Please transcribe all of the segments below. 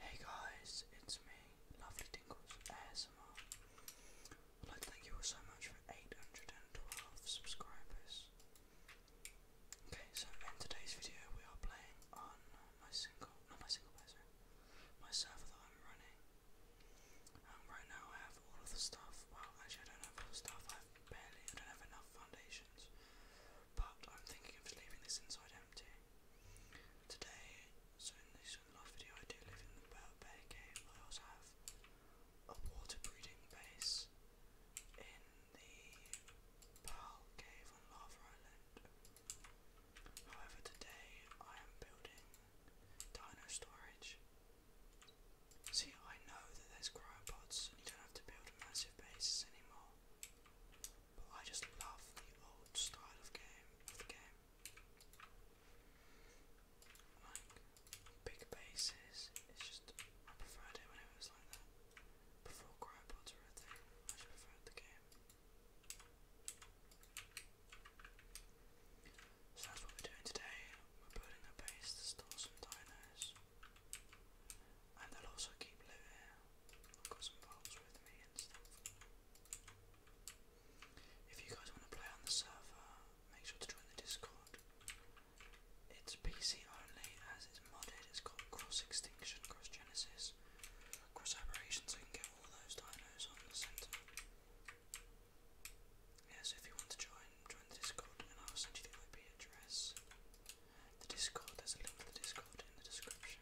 Hey guys, it's me, Lovely Tingles ASMR. I'd like to thank you all so much for 812 subscribers. Okay, so in today's video we are playing on my single, not my single player, my server that I'm running. Um, right now I have all of the stuff, well actually I don't have all the stuff, I barely, I don't have enough foundations. But I'm thinking of leaving this inside empty. Today, so in this last video I do live in the Bird Bay Cave, I also have a water breeding base in the Pearl Cave on Lava Island. However, today I am building dino storage. See, I know that there's cryopods and you don't have to build massive bases anymore. But I just love the old style of game of the game. Like big bases, it's just I preferred it when it was like that. Before cryopods were a I just preferred the game. So that's what we're doing today. We're building a base to store some dinos. If you guys want to play on the server, make sure to join the Discord. It's PC only as it's modded. It's got cross extinction, cross genesis, cross aberration, so can get all those dinos on the center. Yeah, so if you want to join, join the Discord, and I'll send you the IP address. The Discord, there's a link to the Discord in the description.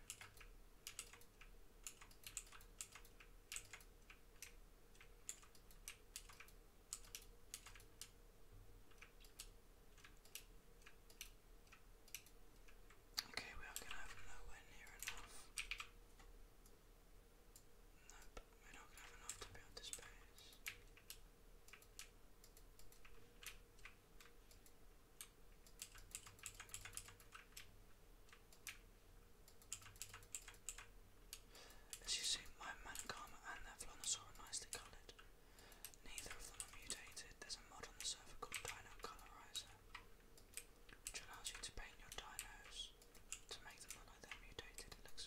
Okay, we are going to have nowhere near enough. Nope, we're not going to have enough to build this base. As you see, my Mankama and their are nicely coloured. Neither of them are mutated. There's a mod on the server called Dino Colorizer, which allows you to paint your dinos to make them look like they're mutated. It looks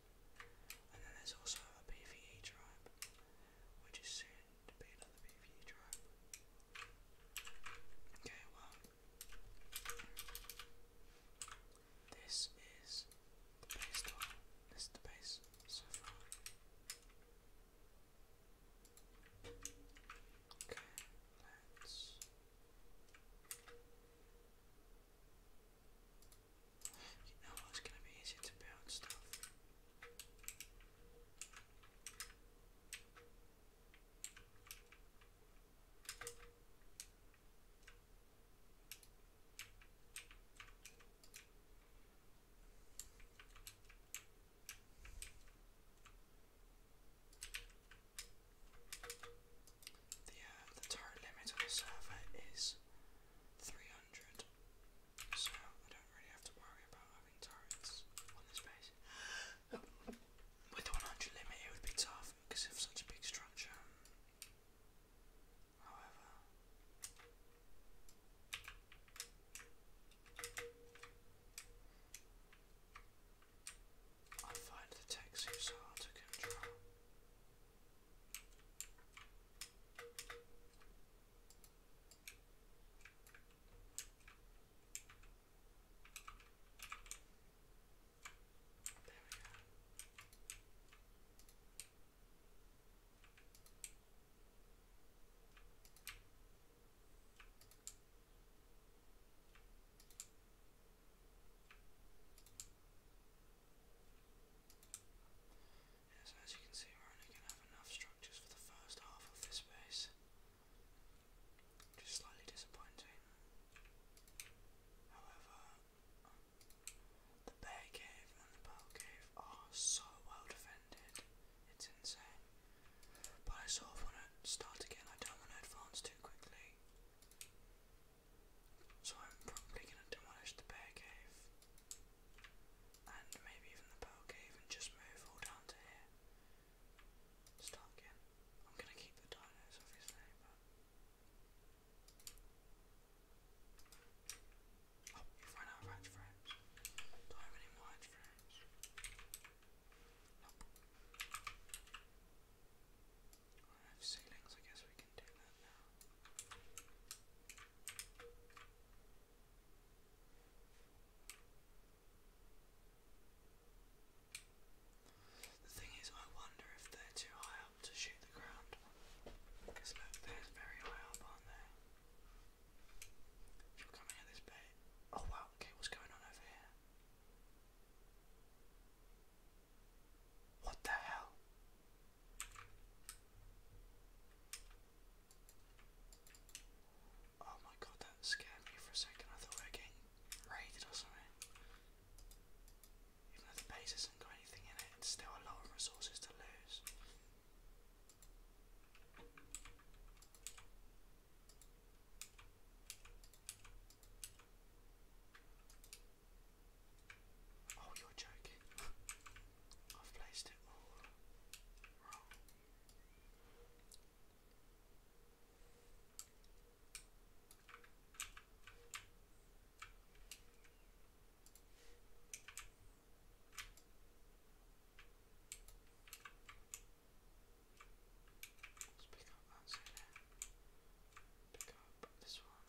And then there's also a PvE tribe, which is soon to be another PvE tribe. Okay, well, this is the base one. This is the base so far. Okay, let's. You know it's gonna be easy to build stuff. The, uh, the turret limit on the server is 300, so I don't really have to worry about having turrets on this base. With the 100 limit it would be tough because of such a big structure. However, I find the taxis hard to control. There we go so as you can see we're only going to have enough structures for the first half of this base. Which slightly disappointing. However, the bear cave and the pearl cave are so well defended. It's insane. But I sort of want to start again. I don't want to advance too quickly. So I'm probably gonna demolish the bear cave and maybe even the pearl cave and just move all down to here. Start again. I'm gonna keep the dinos obviously, Oh, you've out of Do I have any more hatch I guess we can do that now. The thing is, I wonder if they're too high up to shoot the ground. Because look, there's very high up, aren't they? You're coming at this bit. Oh wow, okay, what's going on over here? What the hell? Oh my god, that scared me for a second. I thought we were getting raided or something. Even though the base hasn't got anything in it, it's still a lot of resources to lose. Oh, you're joking. I've placed it all wrong. Let's pick up that there. Pick up this one.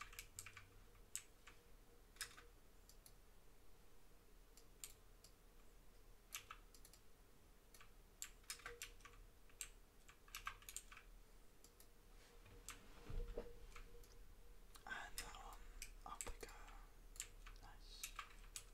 And that one up we Nice.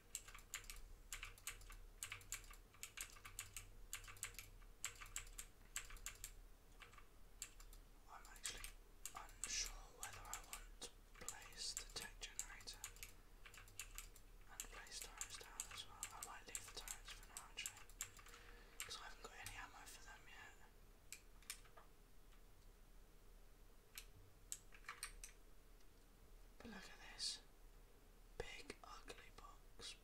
I'm actually unsure whether I want to place the tech generator and place tires down as well. I might leave the tires for now actually, because I haven't got any ammo for them yet. But look at this big, ugly box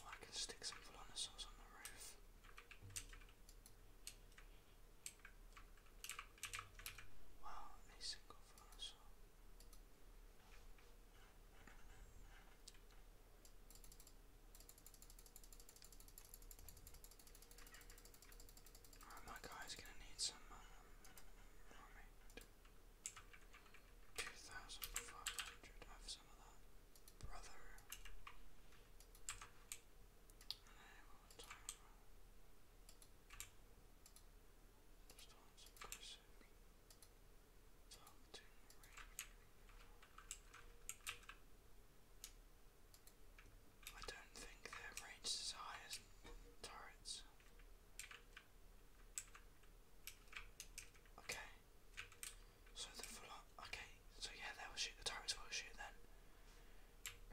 oh, I can stick some Velonosaurs on the roof. Wow, a single Velonosaur. Oh, my guy's gonna need some um, 2,500 of some of that brother. I don't think their range is as high as turrets. Okay. So the Volon okay, so yeah they will shoot the turrets will shoot then.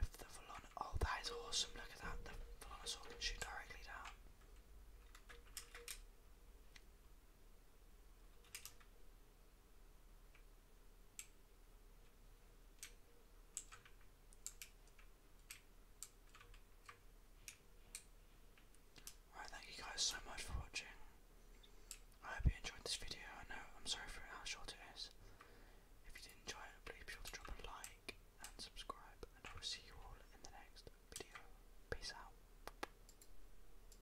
If the Volon oh that is awesome, look at that, the Volonosaur can shoot directly down. Alright, thank you guys so much for watching. I hope you enjoyed this video. I know I'm sorry for how short it is. If you did enjoy it, please be sure to drop a like and subscribe, and I will see you all in the next video. Peace out.